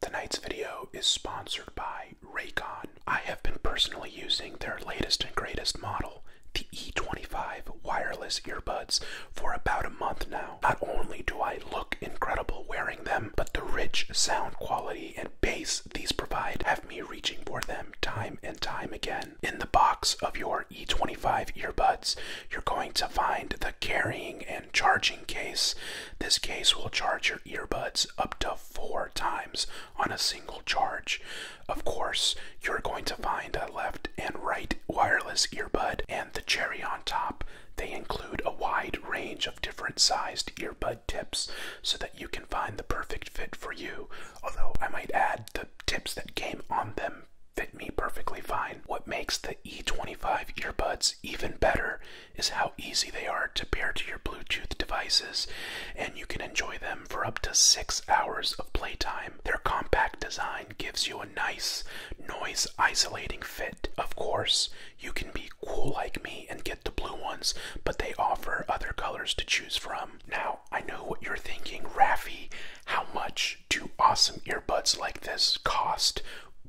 Tonight's video is sponsored by Raycon. I have been personally using their latest and greatest model, the E25 wireless earbuds, for about a month now. Not only do I look incredible wearing them, but the rich sound quality and bass these provide have me reaching for them time and time again. In the box of your E25 earbuds, you're going to find the carrying and charging case. This case will charge your earbuds up to four times on a single charge. Of course, you're going to find a left and right wireless earbud and the cherry on top. They include a wide range of different sized earbud tips so that you can find the perfect fit for you. Although I might add the tips that came on them fit me perfectly fine. What makes the E25 earbuds even better is how easy they are to pair to your Bluetooth devices, and you can enjoy them for up to six hours of playtime. Their compact design gives you a nice, noise isolating fit. Of course, you can be cool like me and get the blue ones, but they offer other colors to choose from. Now, I know what you're thinking, Raffy, how much each two awesome earbuds like this cost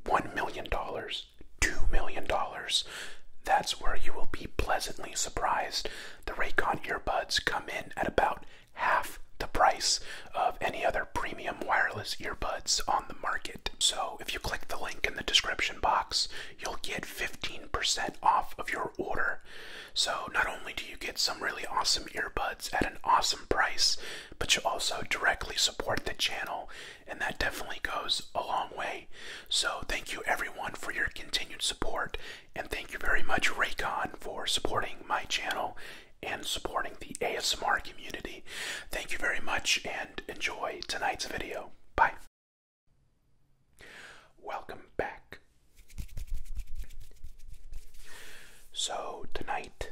$1 million, $2 million. That's where you will be pleasantly surprised. The Raycon earbuds come in at about half the price of any other premium wireless earbuds on the market. So if you click the link in the description box, you'll get 15% off of your order. So not only do you get some really awesome earbuds at an awesome price, but you also directly support the channel, and that definitely goes a long way. So, thank you everyone for your continued support, and thank you very much, Raycon, for supporting my channel and supporting the ASMR community. Thank you very much, and enjoy tonight's video. Bye. Welcome back. So, tonight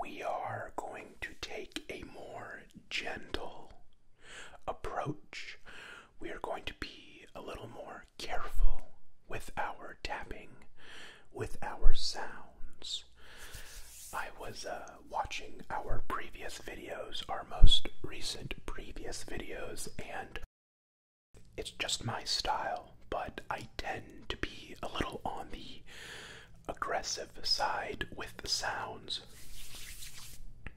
we are going to take a more gentle approach. We are going to be a little more careful with our tapping, with our sounds. I was uh, watching our previous videos, our most recent previous videos, and it's just my style but I tend to be a little on the aggressive side with the sounds.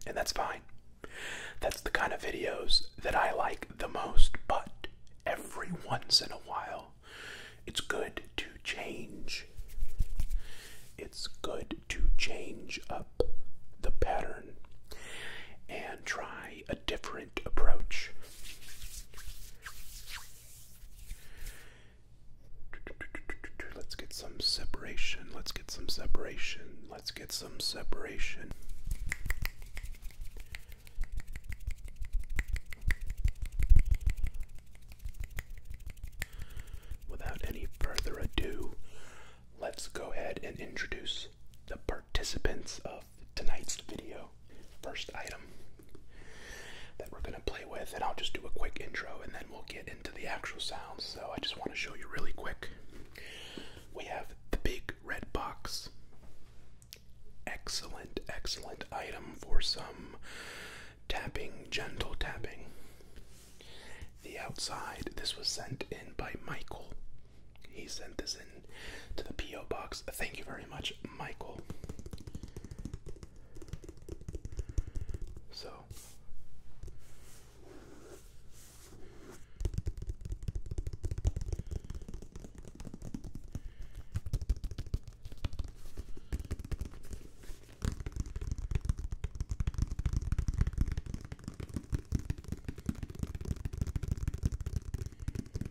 And that's fine. That's the kind of videos that I like the most, but every once in a while, it's good to change. It's good to change up the pattern and try a different approach. Let's get some separation. Let's get some separation. Let's get some separation. Without any further ado, let's go ahead and introduce the participants of tonight's video. First item that we're going to play with, and I'll just do a quick intro and then we'll get into the actual sounds. So I just want to show you really quick. We have the big red box. Excellent, excellent item for some tapping, gentle tapping. The outside, this was sent in by Michael. He sent this in to the P.O. box. Thank you very much, Michael. So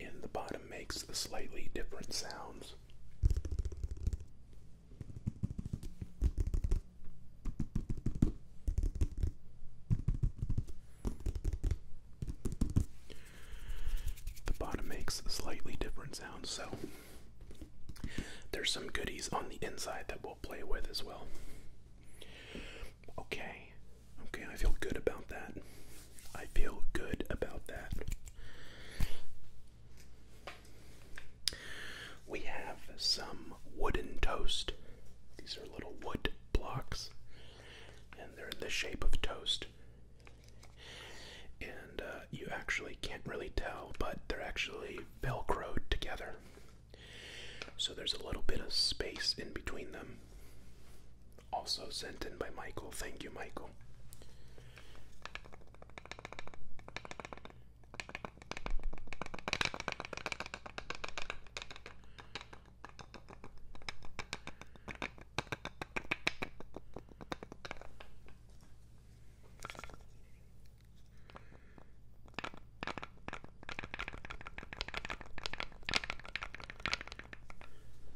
And the bottom makes the slightly different sounds. The bottom makes slightly different sounds, so there's some goodies on the inside that we'll play with as well. Okay, okay, I feel good about that. I feel good about that. We have some wooden toast. These are little wood blocks, and they're in the shape of toast and uh, you actually can't really tell, but they're actually velcroed together. So there's a little bit of space in between them. Also sent in by Michael. Thank you, Michael.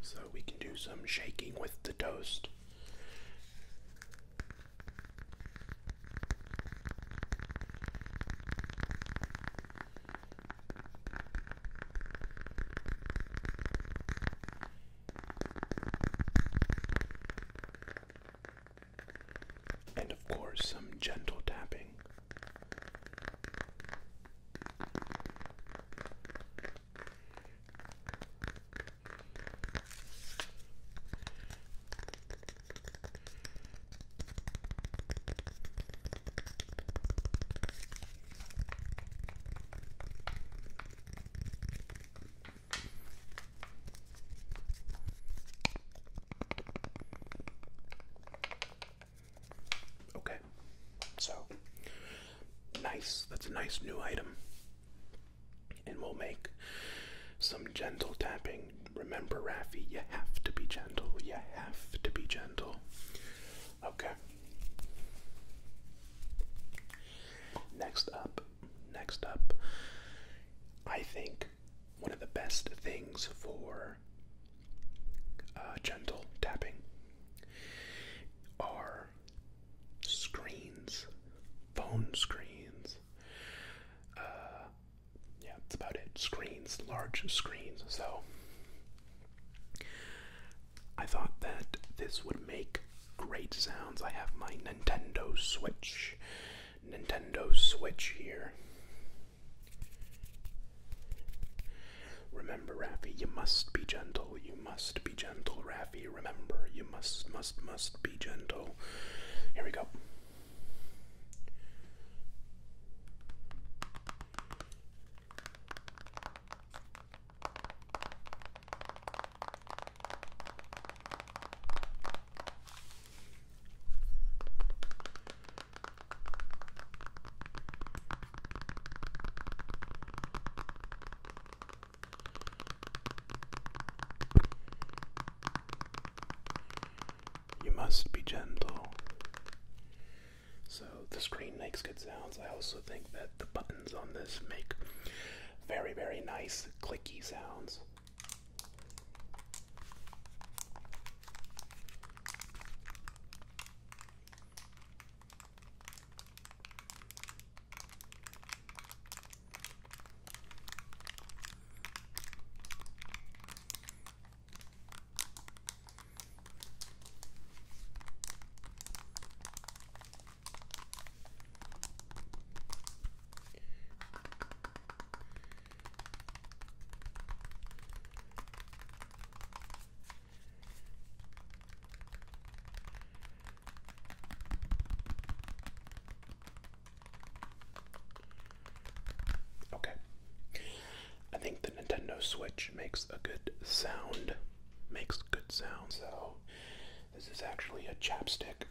So we can do some shaking with the toast. And of course, some gentle tapping. Okay. So nice. That's a nice new item. And we'll make some gentle tapping. Remember, Rafi, you have to be gentle. You have to be gentle. Okay. Next up Next up, I think one of the best things for uh, gentle tapping are screens, phone screens. Uh, yeah, that's about it. Screens, large screens. So I thought that this would make great sounds. I have my Nintendo Switch. Nintendo Switch here. Remember, Raffy, you must be gentle. You must be gentle, Raffy. Remember, you must, must, must be gentle. Here we go. You must be gentle. So the screen makes good sounds. I also think that the buttons on this make very, very nice clicky sounds. Okay. I think the Nintendo Switch makes a good sound. Makes good sound, so this is actually a chapstick,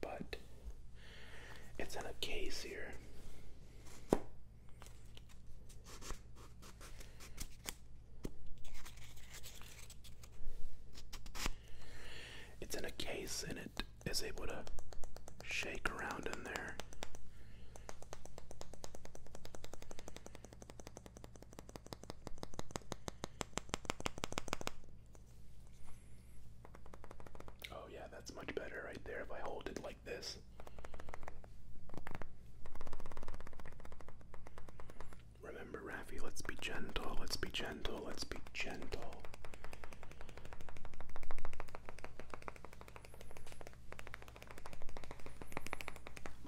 but it's in a case here. It's in a case and it is able to shake around in there. Oh, yeah, that's much better right there if I hold it like this. Remember, Rafi, let's be gentle, let's be gentle, let's be gentle.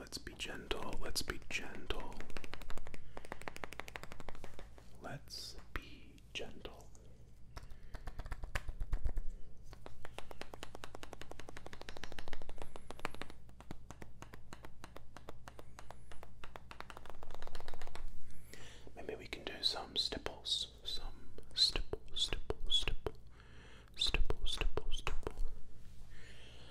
Let's be gentle, let's be gentle. Let's be gentle. Maybe we can do some stipples, some stipple, stipple, stipple, stipple, stipple, stipple.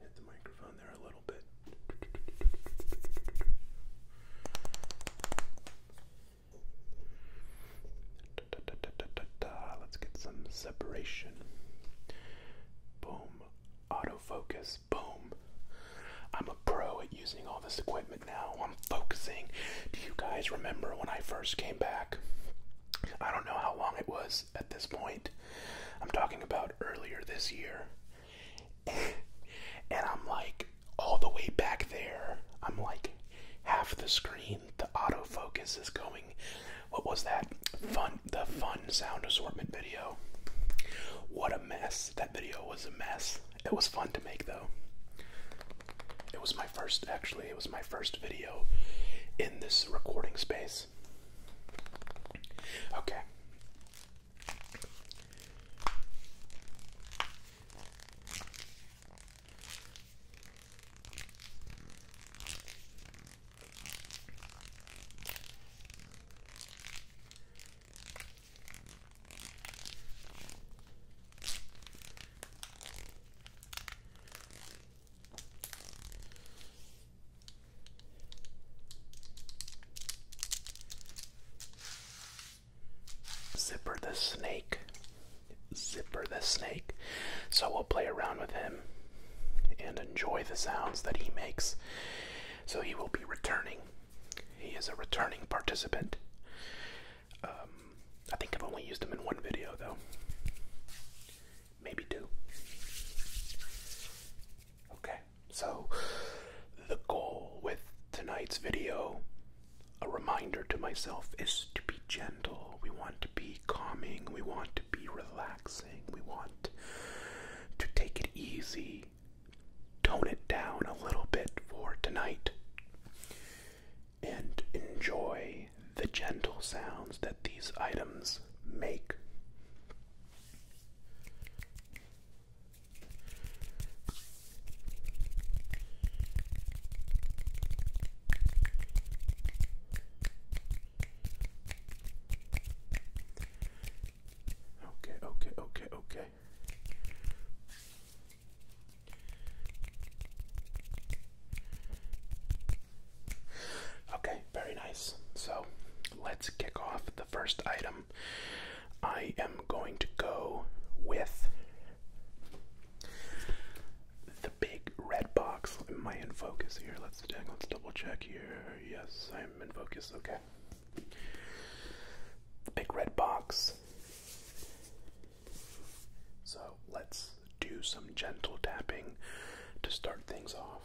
Hit the microphone there a little bit. Let's get some separation. Boom. Autofocus. Boom. I'm a pro at using all this equipment now. I'm focusing. Do you guys remember when I first came back? I don't know how long it was at this point. I'm talking about earlier this year. and I'm like all the way back there. I'm like half the screen. The autofocus is going. What was that? Fun the fun sound assortment video. What a mess. That video was a mess. It was fun to make though. It was my first, actually, it was my first video in this recording space. Okay. Zipper the Snake. Zipper the Snake. So we'll play around with him and enjoy the sounds that he makes. So he will be returning he is a returning participant. Um, I think I've only used him in one video though. Maybe two. Okay, so the goal with tonight's video, a reminder to myself, is to be gentle. We want to be calming. We want to be relaxing. We want to take it easy tone it down a little bit for tonight and enjoy the gentle sounds that these items make. Okay, okay, okay, okay. Okay, very nice. So let's kick off the first item. I am going to go with the big red box. Am I in focus here? Let's let's double check here. Yes, I'm in focus. Okay. The big red box so let's do some gentle tapping to start things off.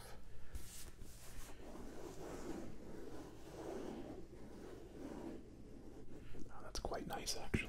that's quite nice, actually.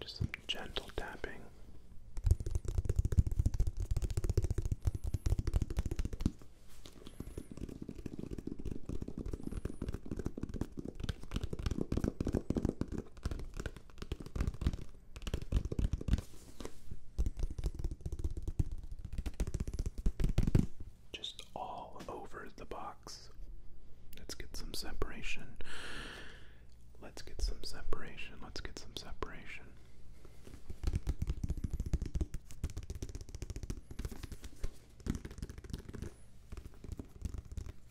Just some gentle tapping. Just all over the box. Let's get some separation. Let's get some separation. Let's get some separation.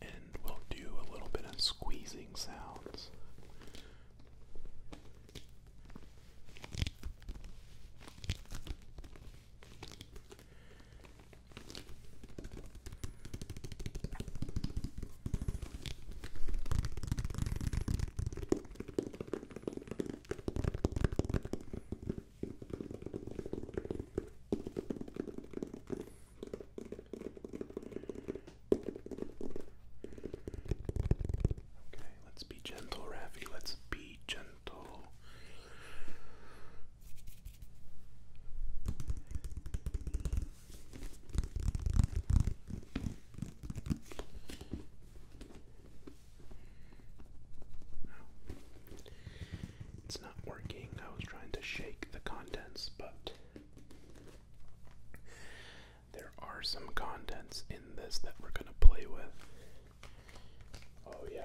And we'll do a little bit of squeezing sounds. Okay, let's be gentle, Rafi. Let's be gentle. It's not working. I was trying to shake the contents, but there are some contents in this that we're going to play with. Oh, yeah.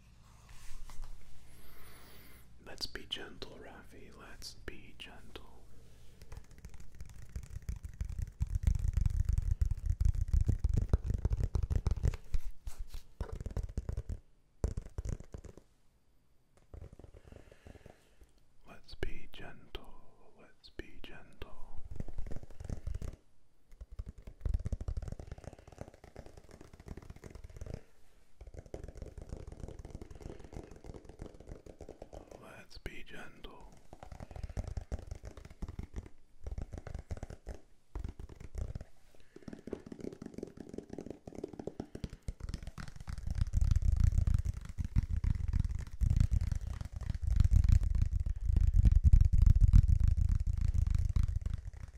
Let's be gentle, Rafi. Let's be gentle. Let's be gentle. Let's be gentle. Let's be gentle.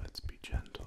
Let's be gentle.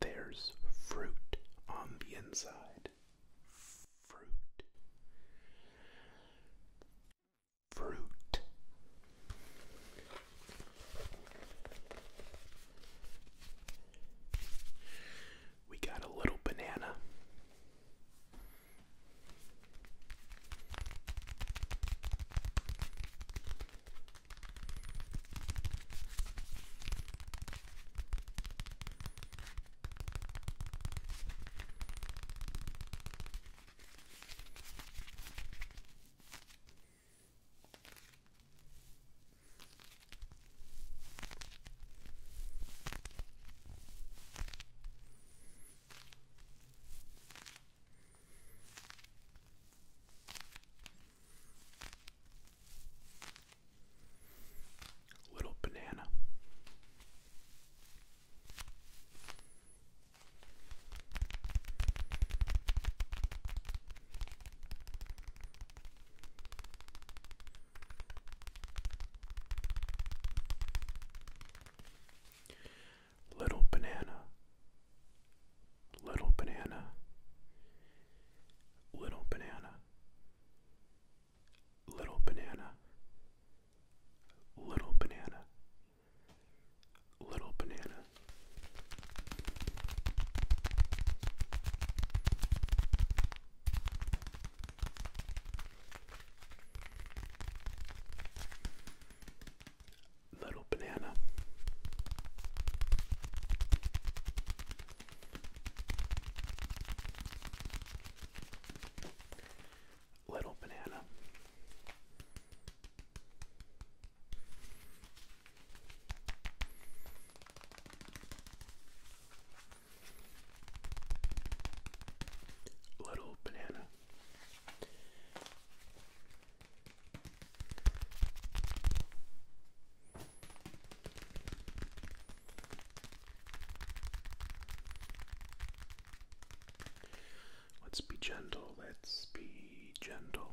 There's fruit on the inside. Fruit. Fruit. We got a little banana. Little banana. Little banana, little banana, little banana, little banana, little banana, little banana, Little banana. Little banana. Little banana. Let's be gentle, let's be gentle.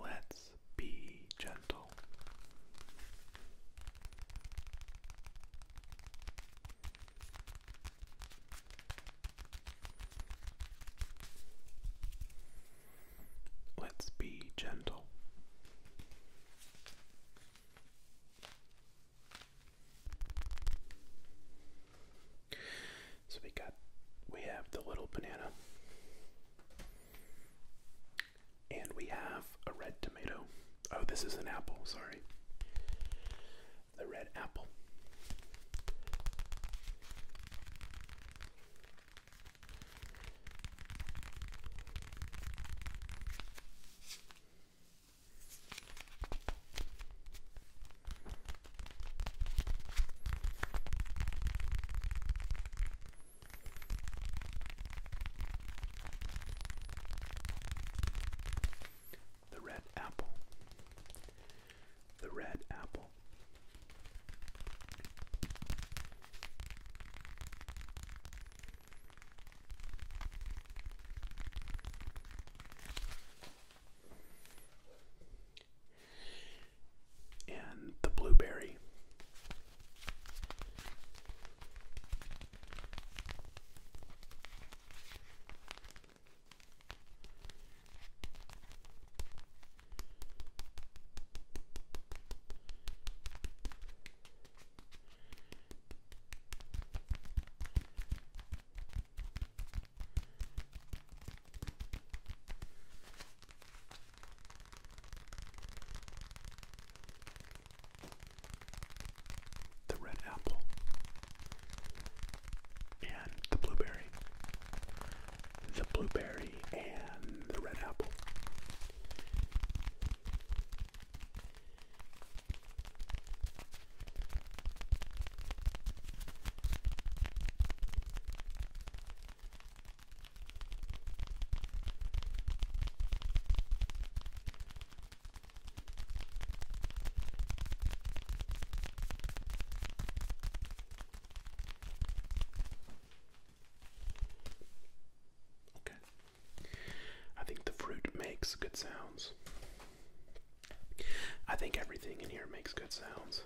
Let's be gentle. Let's be gentle. So we got we have the little banana and we have a red tomato. Oh, this is an apple, sorry. The red apple. The red apple, the red apple and the blueberry. The red apple and the blueberry. The blueberry and the red apple. Okay. I think the fruit makes good sounds. I think everything in here makes good sounds.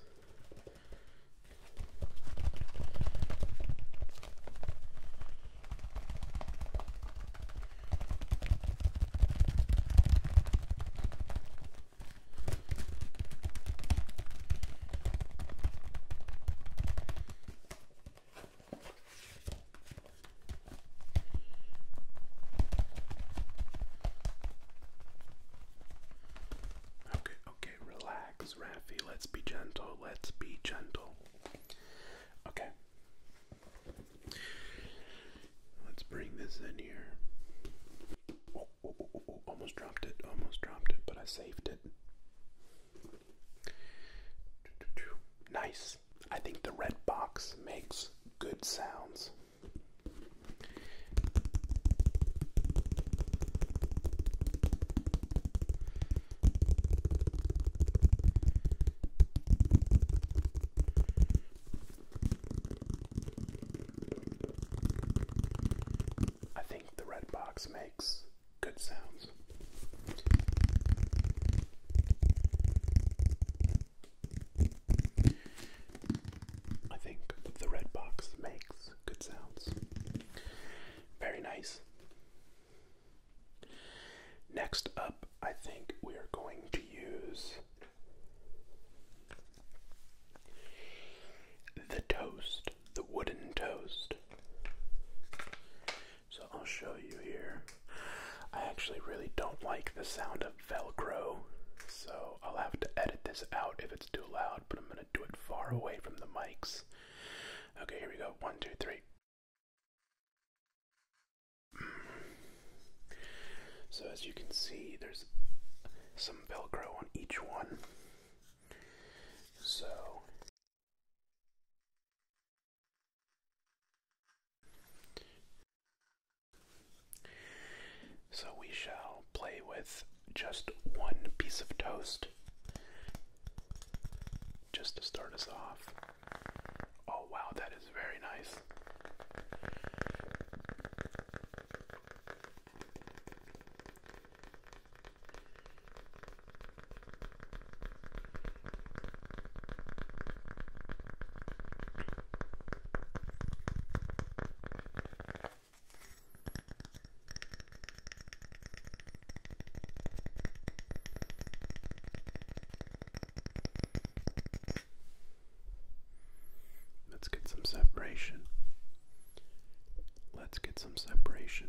Okay, okay, relax, Rafi. Let's be gentle. Let's be gentle. Okay. Let's bring this in here. Oh, oh, oh, oh, oh, almost dropped it. Almost dropped it, but I saved it. Nice. I think the red box makes good sounds. I think the red box makes good sounds. I think the red box makes good sounds. Very nice. Next up, I think we are going to use the toast, the wooden toast. So I'll show you here. I actually really don't like the sound of Velcro, so I'll have to edit this out if it's too loud, but I'm gonna do it far away from the mics. Okay, here we go. One, two, three. Mm. So, as you can see, there's some Velcro on each one. So, so we shall play with just one piece of toast just to start us off. Oh, wow, that is very nice. Let's get some separation. Let's get some separation.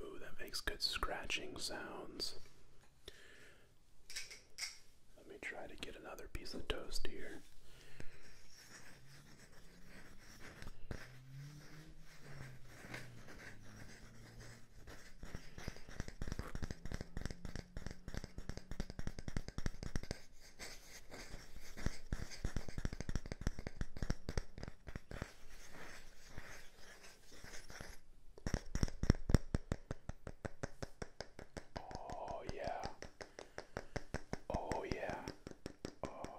Ooh, that makes good scratching sounds. Let me try to get another piece of toast here. Oh, yeah. Oh, yeah. Oh.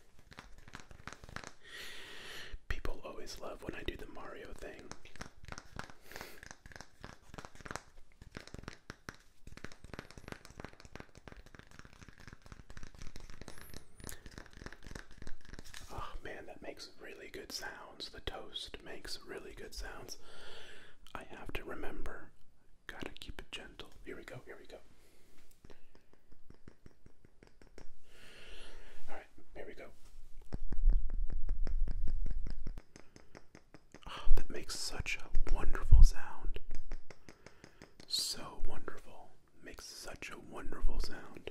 People always love when I do the Mario thing. Oh man, that makes really good sounds. The toast makes really good sounds. I have to remember. Gotta keep it gentle. Here we go, here we go. All right, here we go. Oh, that makes such a wonderful sound. So wonderful. Makes such a wonderful sound.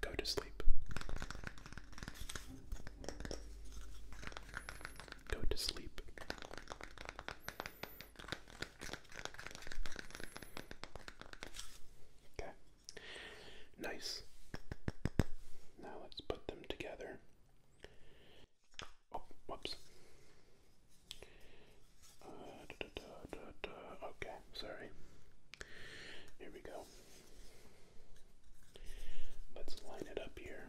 go to sleep. Go to sleep. Okay. Nice. Now let's put them together. Oh, whoops. Uh, okay, sorry. Here we go. Let's line it up here.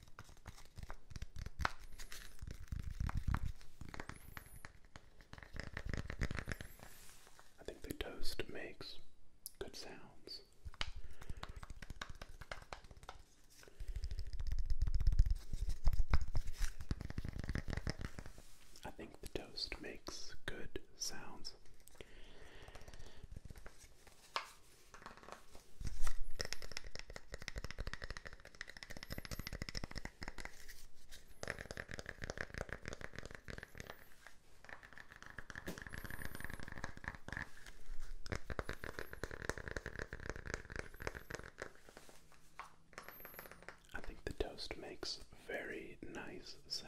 I think the toast makes good sounds. I think the toast makes good sounds. I think the toast makes very nice sounds.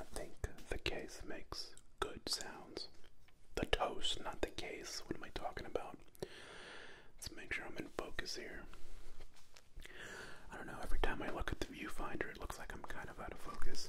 I think the case makes good sounds. The toast, not the case. What am I talking about? Let's make sure I'm in focus here. I don't know, every time I look at the viewfinder, it looks like I'm kind of out of focus.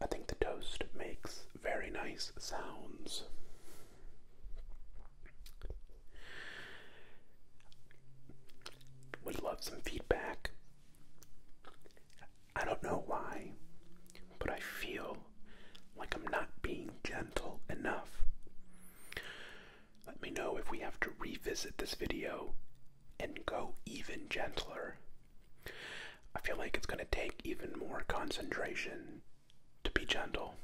I think the toast makes very nice sounds. Would love some feedback. I don't know why, but I feel like I'm not being gentle enough. Let me know if we have to revisit this video and go even gentler. I feel like it's going to take even more concentration to be gentle.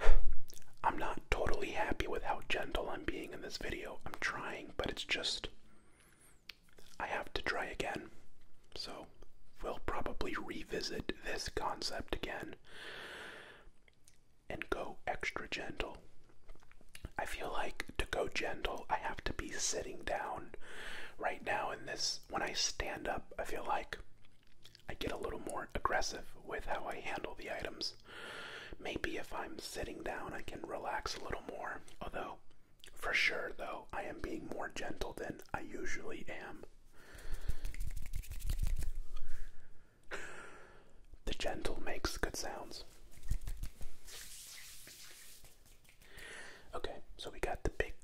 I'm not totally happy with how gentle I'm being in this video. I'm trying, but it's just. I have to try again. So, we'll probably revisit this concept again and go extra gentle. I feel like to go gentle, I have to be sitting down. Right now, in this when I stand up, I feel like I get a little more aggressive with how I handle the items. Maybe if I'm sitting down, I can relax a little more. Although, for sure, though, I am being more gentle than I usually am. The gentle makes good sounds. Okay, so we got the big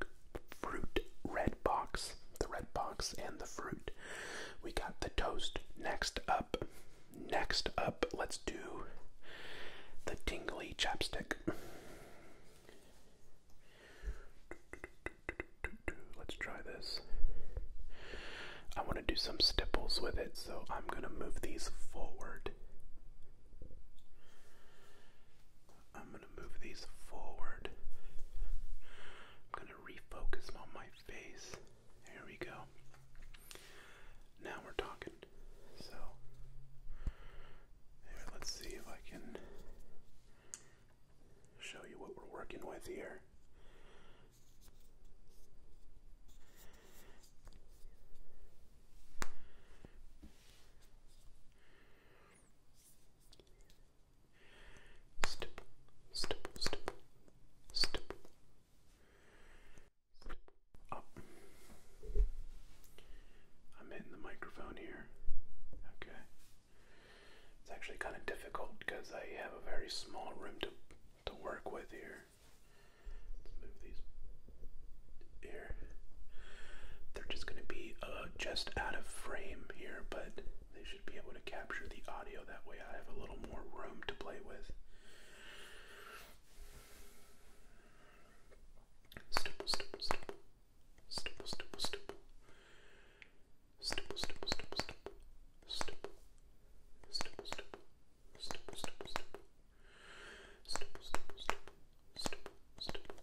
fruit red box, the red box and the fruit. We got the toast. Next up, next up, let's do the tingly chapstick. Let's try this. I want to do some stipples with it, so I'm going to move these forward move these forward. I'm going to refocus on my face. There we go. Now we're talking. So, let's see if I can show you what we're working with here. Stipple, stipple, stipple, stipple. Up. I'm hitting the microphone here. Okay. It's actually kind of difficult because I have a very small room to to work with here. Let's move these here. They're just going to be uh, just out of frame here, but they should be able to capture the audio. That way I have a little more room to play with. Stipple, stipple, stipple. Stipple, stipple, stipple. Stipple, stipple, stipple, stipple. Stipple. Stipple, stipple. Stipple, stipple, stipple. Stipple, stipple, stipple. Stipple, stipple.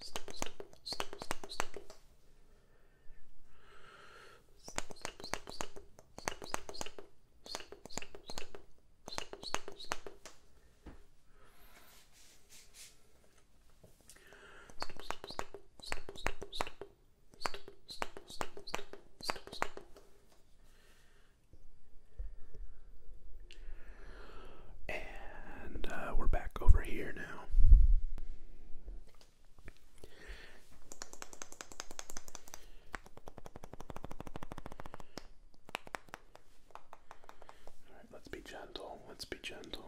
stipple, stipple, stipple, stipple, stipple. Stipple, stipple, stipple, stipple, stipple, stipple, stipple, stipple, stipple, stipple, stipple, stipple, stipple. And and uh, we're back over here now. right, let's be gentle. Let's be gentle.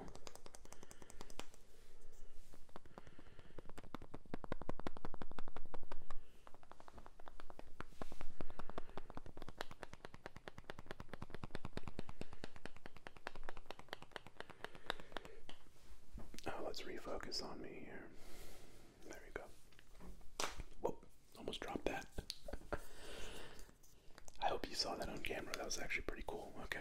Now oh, let's refocus on me here. There we go. Whoop, almost dropped that. I hope you saw that on camera. That was actually pretty cool. Okay.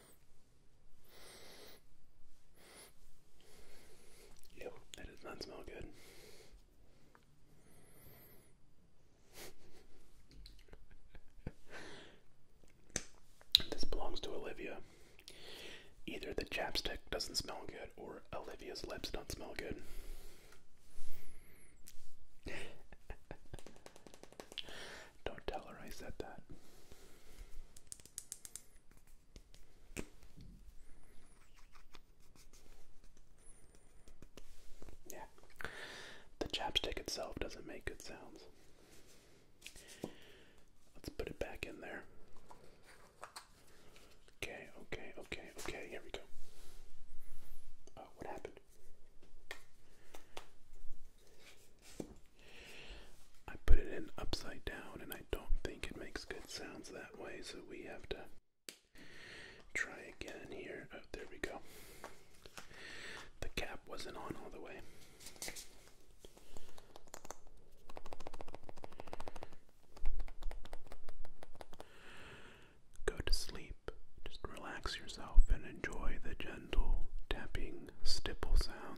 Yep, that does not smell good. this belongs to Olivia. Either the chapstick doesn't smell good or Olivia's lips don't smell good. don't tell her I said that. Yeah. The chapstick itself doesn't make good sounds. Let's put it back in there. Okay, okay, okay, okay, here we go. Oh, what happened? I put it in upside down and I don't think it makes good sounds that way, so we have to try again here. Oh, there we go. The cap wasn't on all the way. Go to sleep. Just relax yourself and enjoy the gentle tapping stipple sound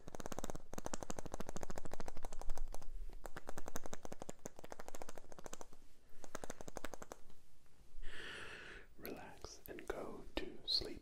Relax and go to sleep.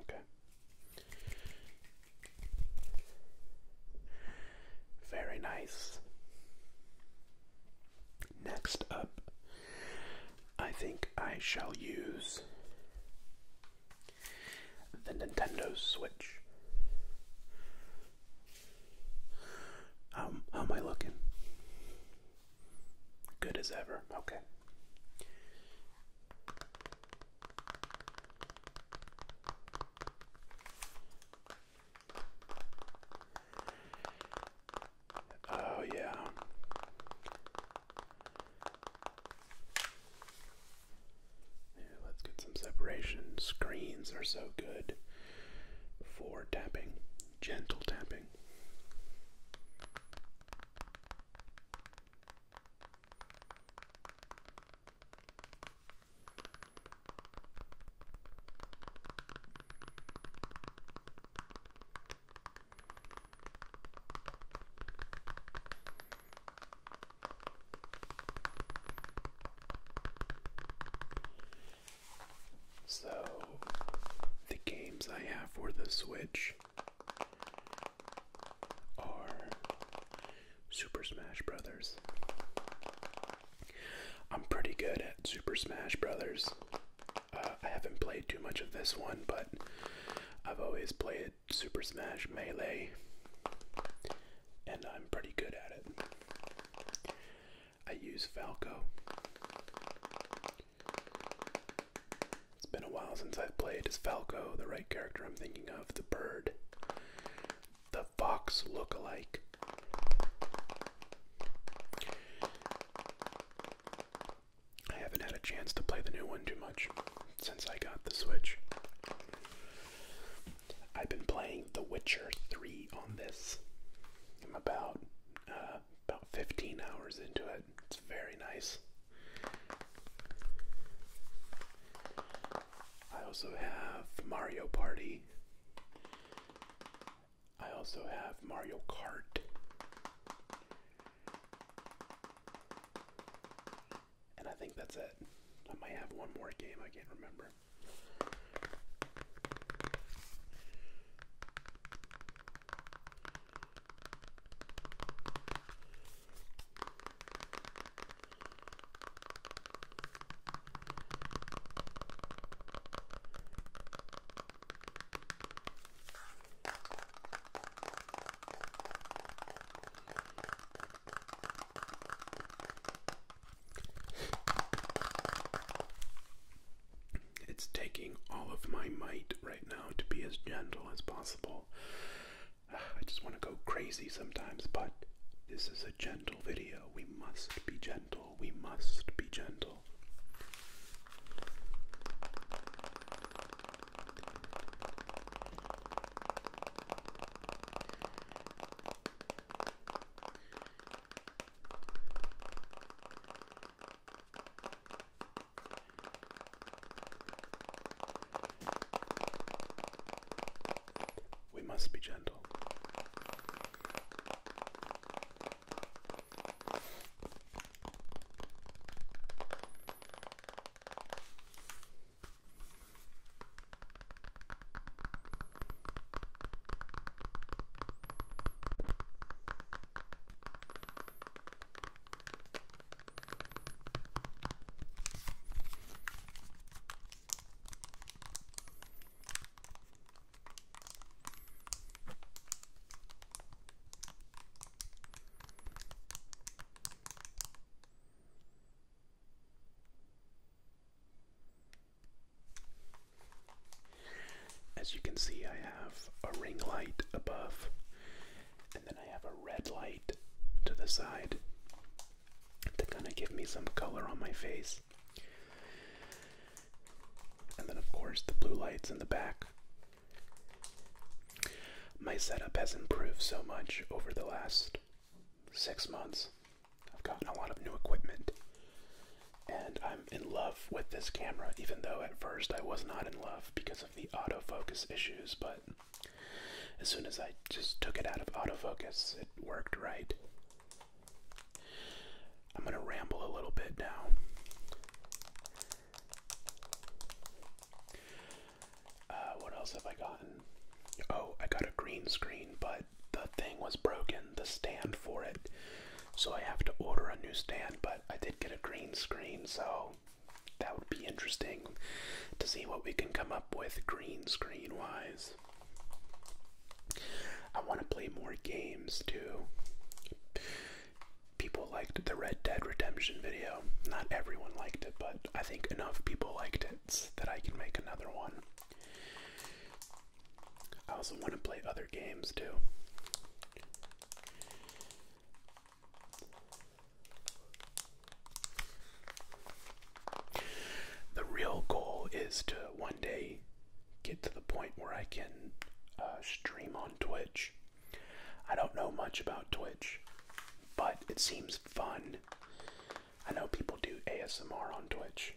Okay. Very nice. Next up, I think I shall use the Nintendo Switch. Um, how am I looking? Good as ever. Okay. Oh, yeah. let's get some separation. Screens are so good for tapping, gentle tapping. So, the games I have for the Switch are Super Smash Brothers. I'm pretty good at Super Smash Brothers. Uh, I haven't played too much of this one, but I've always played Super Smash Melee, and I'm pretty good at it. I use Falco. It's been a while since I've played as Falco, the right character I'm thinking of, the bird. The fox look-alike. I haven't had a chance to play the new one too much since I got the Switch. I've been playing The Witcher 3 on this. I'm about uh, about 15 hours into it, very nice. I also have Mario Party. I also have Mario Kart. And I think that's it. I might have one more game, I can't remember. It's taking all of my might right now to be as gentle as possible I just want to go crazy sometimes, but this is a gentle video. We must be gentle. We must be gentle. We must be gentle. As you can see, I have a ring light above and then I have a red light to the side to kind of give me some color on my face. And then, of course, the blue lights in the back. My setup has improved so much over the last six months. I've gotten a lot of new equipment. And I'm in love with this camera, even though at first I was not in love because of the autofocus issues, but as soon as I just took it out of autofocus, it worked right. I'm going to ramble a little bit now. Uh, what else have I gotten? Oh, I got a green screen, but the thing was broken, the stand for it. So I have to order a new stand, but I did get a green screen, so that would be interesting to see what we can come up with green screen wise. I want to play more games too. People liked the Red Dead Redemption video. Not everyone liked it, but I think enough people liked it that I can make another one. I also want to play other games too. The real goal is to one day get to the point where I can uh, stream on Twitch. I don't know much about Twitch, but it seems fun. I know people do ASMR on Twitch,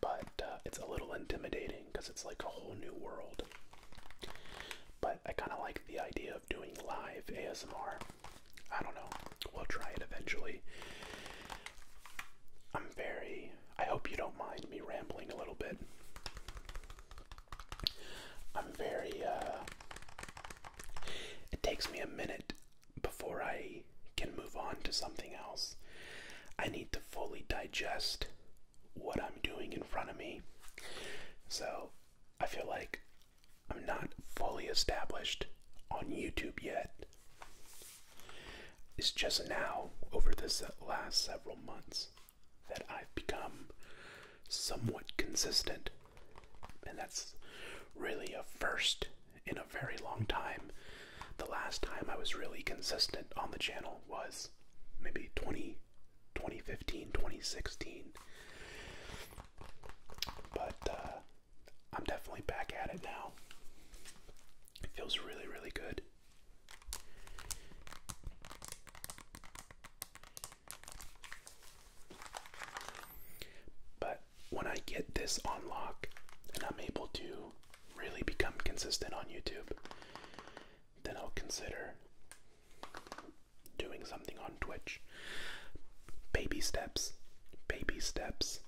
but uh, it's a little intimidating because it's like a whole new world. But I kind of like the idea of doing live ASMR. I don't know. We'll try it eventually. I'm very. I hope you don't mind me rambling a little bit. I'm very. Uh, it takes me a minute before I can move on to something else. I need to fully digest what I'm doing in front of me. So I feel like I'm not fully established on YouTube yet. It's just now, over the last several months, that I've become somewhat consistent. And that's really a first in a very long time. The last time I was really consistent on the channel was maybe 20 2015, 2016. But uh, I'm definitely back at it now. It feels really, really good. But when I get this on lock and I'm able to really become consistent on YouTube, then I'll consider doing something on Twitch. Baby steps, baby steps.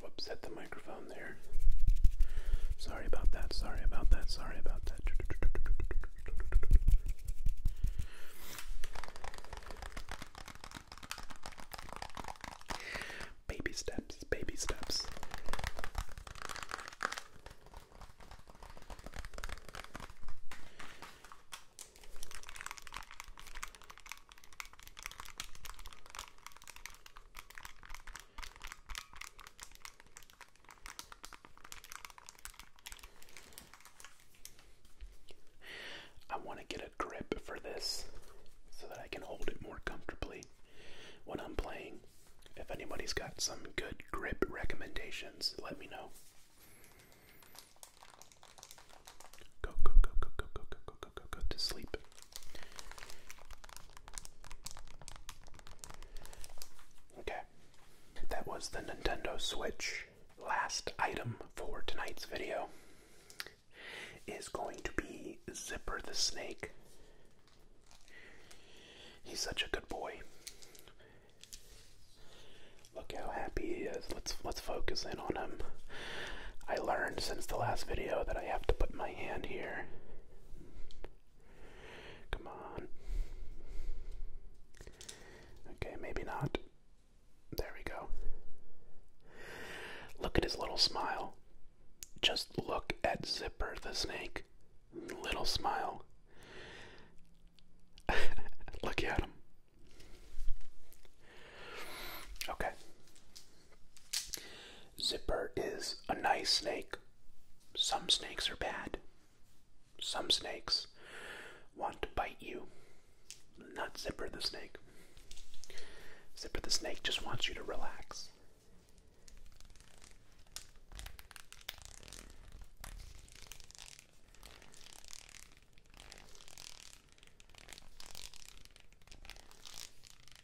Whoops, hit the microphone. Sorry about that, sorry about that, sorry about that. Baby steps, baby steps. I want to get a grip for this so that I can hold it more comfortably when I'm playing. If anybody's got some good grip recommendations, let me know. Go, go, go, go, go, go, go, go, go, go, go to sleep. Okay, that was the Nintendo Switch. Last item for tonight's video is going to be Zipper the Snake. He's such a good boy. Look how happy he is. Let's let's focus in on him. I learned since the last video that I have to put my hand here Come on. Okay, maybe not. There we go. Look at his little smile. Just look at Zipper the snake. Little smile. look at him. Okay. Zipper is a nice snake. Some snakes are bad. Some snakes want to bite you. Not Zipper the snake. Zipper the snake just wants you to relax.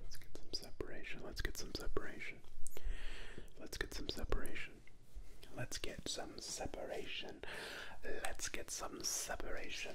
Let's get some separation. Let's get some separation. Let's get some separation. Let's get some separation. Let's get some separation.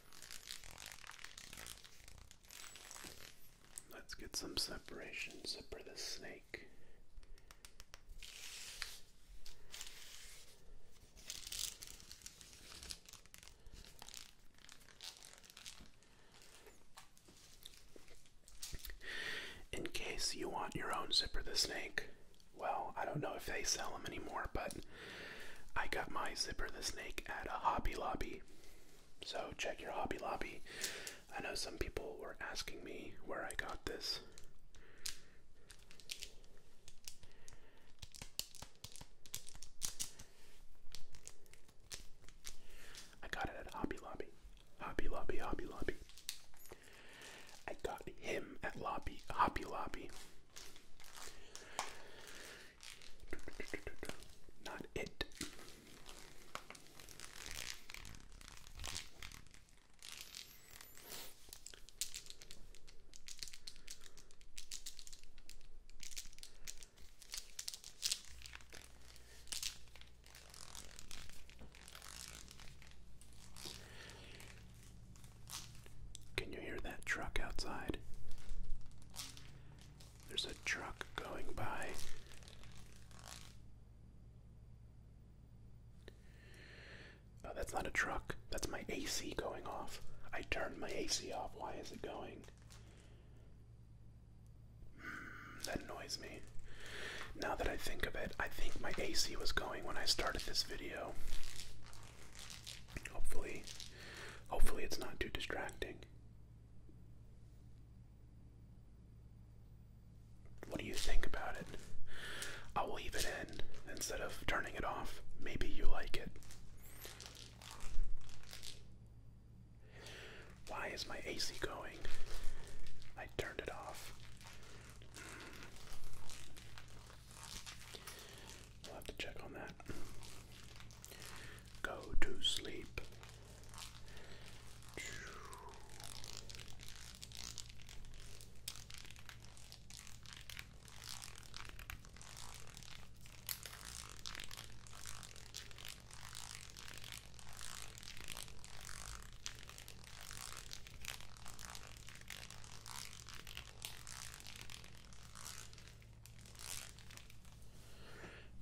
Let's get some separation. Zipper the snake. In case you want your own Zipper the Snake, well, I don't know if they sell them anymore, but I got my Zipper the Snake at a Hobby Lobby. So check your Hobby Lobby. I know some people were asking me where I got this. I got it at Hobby Lobby. Hobby Lobby, Hobby Lobby. I got him at Lobby, Hobby Lobby. Not it. Can you hear that truck outside? There's a truck going by. Oh, that's not a truck. That's my AC going off. I turned my AC off. Why is it going? Hmm, that annoys me. Now that I think of it, I think my AC was going when I started this video. Hopefully, hopefully it's not too distracting. What do you think about it? I'll leave it in instead of turning it off. Maybe you like it. Why is my AC going? I turned it off. We'll have to check on that. Go to sleep.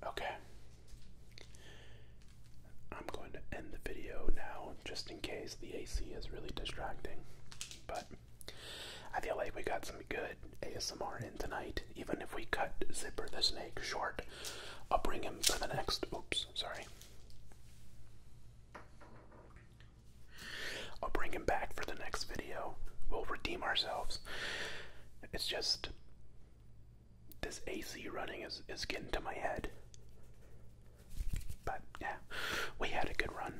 Okay. I'm going to end the video now just in case the AC is really distracting. But I feel like we got some good ASMR in tonight. Even if we cut Zipper the Snake short, I'll bring him for the next. Oops, sorry. I'll bring him back for the next video. We'll redeem ourselves. It's just this AC running is, is getting to my head. But yeah, we had a good run.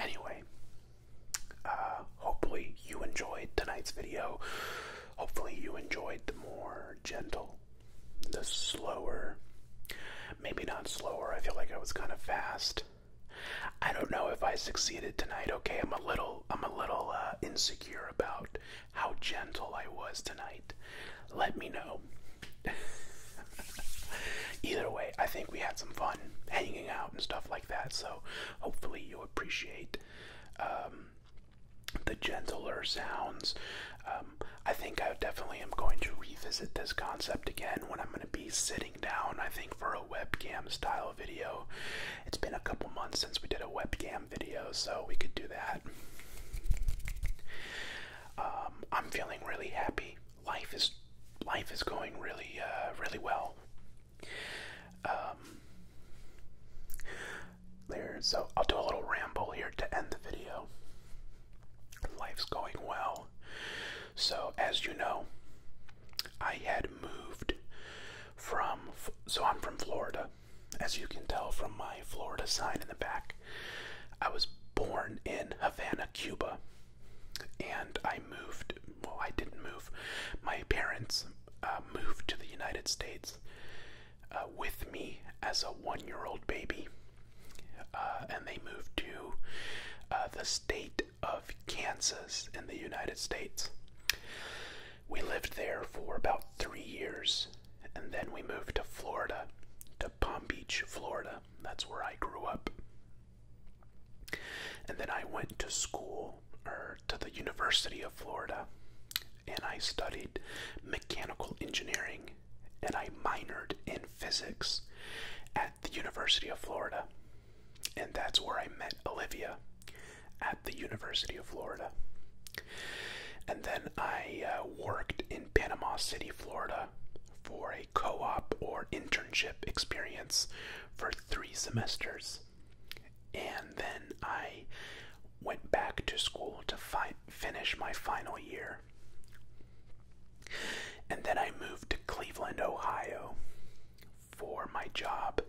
Anyway, uh, hopefully you enjoyed tonight's video. Hopefully you enjoyed the more gentle, the slower, maybe not slower. I feel like I was kind of fast. I don't know if I succeeded tonight. Okay, I'm a little I'm a little uh, insecure about how gentle I was tonight. Let me know. Either way, I think we had some fun hanging out and stuff like that. So hopefully you appreciate um, the gentler sounds. Um, I think I definitely am going to revisit this concept again when I'm going to be sitting down, I think, for a webcam style video. It's been a couple months since we did a webcam video, so we could do that. Um, I'm feeling really happy. Life is life is going really, uh, really well. Um, there, so I'll do a little ramble here to end the video. Life's going well. So, as you know, I had moved from, so I'm from Florida. As you can tell from my Florida sign in the back, I was born in Havana, Cuba. And I moved, well, I didn't move. My parents uh, moved to the United States uh, with me as a one year old baby. Uh, and they moved to uh, the state of Kansas in the United States. We lived there for about three years, and then we moved to Florida, to Palm Beach, Florida. That's where I grew up. And then I went to school, or er, to the University of Florida, and I studied mechanical engineering, and I minored in physics at the University of Florida. And that's where I met Olivia at the University of Florida. And then I uh, worked in Panama City, Florida for a co op or internship experience for three semesters. And then I went back to school to finish my final year and then I moved to Cleveland, Ohio for my job.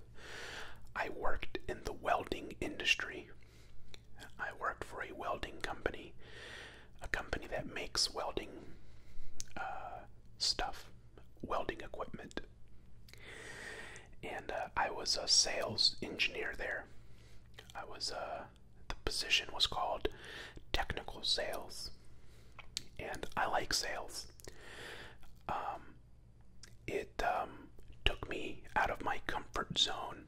I worked in the welding industry. I worked for a welding company, a company that makes welding uh, stuff, welding equipment. And uh, I was a sales engineer there. I was, uh, the position was called technical sales and I like sales. Um, it um, took me out of my comfort zone.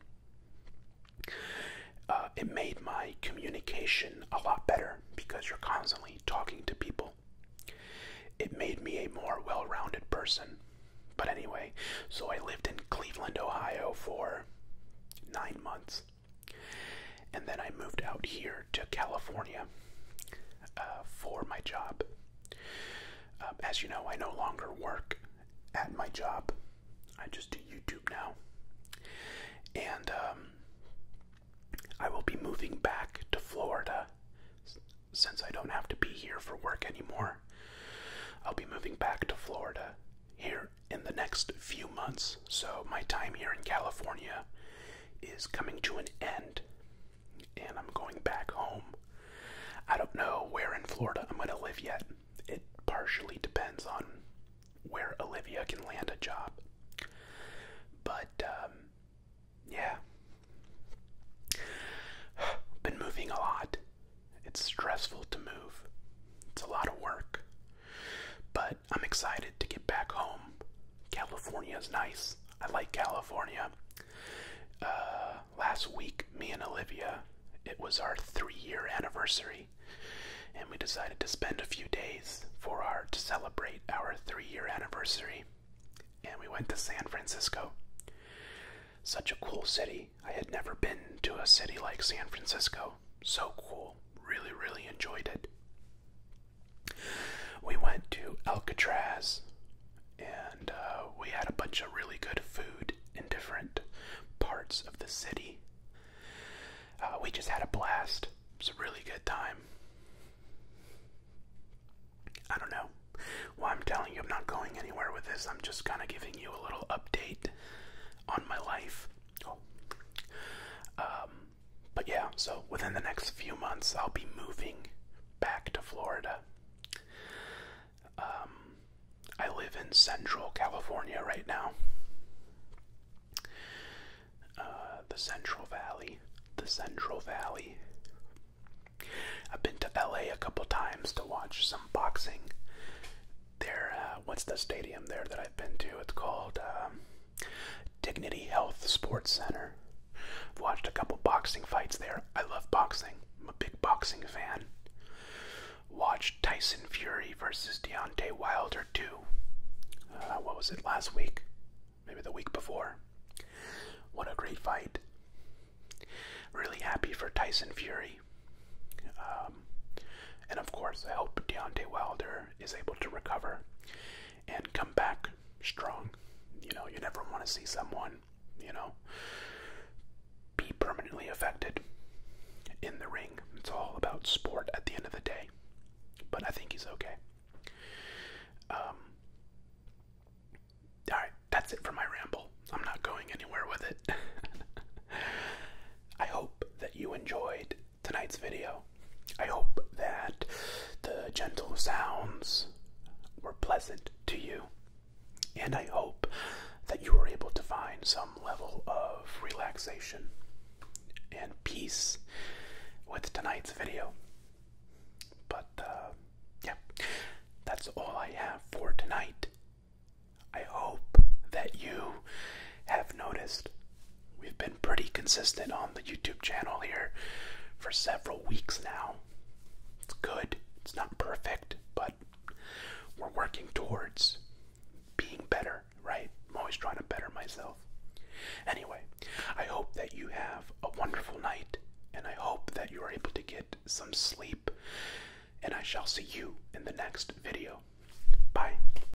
Uh, it made my communication a lot better because you're constantly talking to people. It made me a more well rounded person. But anyway, so I lived in Cleveland, Ohio for nine months. And then I moved out here to California uh, for my job. Um, as you know, I no longer work at my job, I just do YouTube now. And um, I will be moving back to Florida since I don't have to be here for work anymore. I'll be moving back to Florida here in the next few months. So, my time here in California is coming to an end, and I'm going back home. I don't know where in Florida I'm going to live yet. It partially depends on where Olivia can land a job. But, um, yeah. Been moving a lot. It's stressful to move, it's a lot of work. But I'm excited to get back home. California is nice. I like California. Uh, last week, me and Olivia, it was our three year anniversary, and we decided to spend a few days for our to celebrate our three year anniversary. And we went to San Francisco. Such a cool city. I had never been to a city like San Francisco. So cool. Really, really enjoyed it. We went to Alcatraz and uh, we had a bunch of really good food in different parts of the city. Uh, we just had a blast. It was a really good time. I don't know. Well, I'm telling you, I'm not going anywhere with this. I'm just kind of giving you a little update on my life. Oh. Um, but yeah, so within the next few months, I'll be moving back to Florida. Um, I live in Central California right now. Uh, the Central Valley. The Central Valley. I've been to LA a couple times to watch some boxing. There, uh, what's the stadium there that I've been to? It's called. Um, Dignity Health Sports Center. I've watched a couple boxing fights there. I love boxing. I'm a big boxing fan. Watched Tyson Fury versus Deontay Wilder too. Uh, what was it last week? Maybe the week before. What a great fight! Really happy for Tyson Fury. Uh, um, and of course, I hope Deontay Wilder is able to recover and come back strong. You know, you never want to see someone, you know, be permanently affected in the ring. It's all about sport at the end of the day. But I think he's okay. Um, Alright, that's it for my ramble. I'm not going anywhere with it. I hope that you enjoyed tonight's video. I hope that the gentle sounds were pleasant to you, and I hope that you were able to find some level of relaxation and peace with tonight's video. But, uh, yeah, that's all I have for tonight. I hope that you have noticed We've been pretty consistent on the YouTube channel here for several weeks now. It's good, it's not perfect, but we're working towards being better, right? I'm always trying to better myself. Anyway, I hope that you have a wonderful night and I hope that you are able to get some sleep. And I shall see you in the next video. Bye.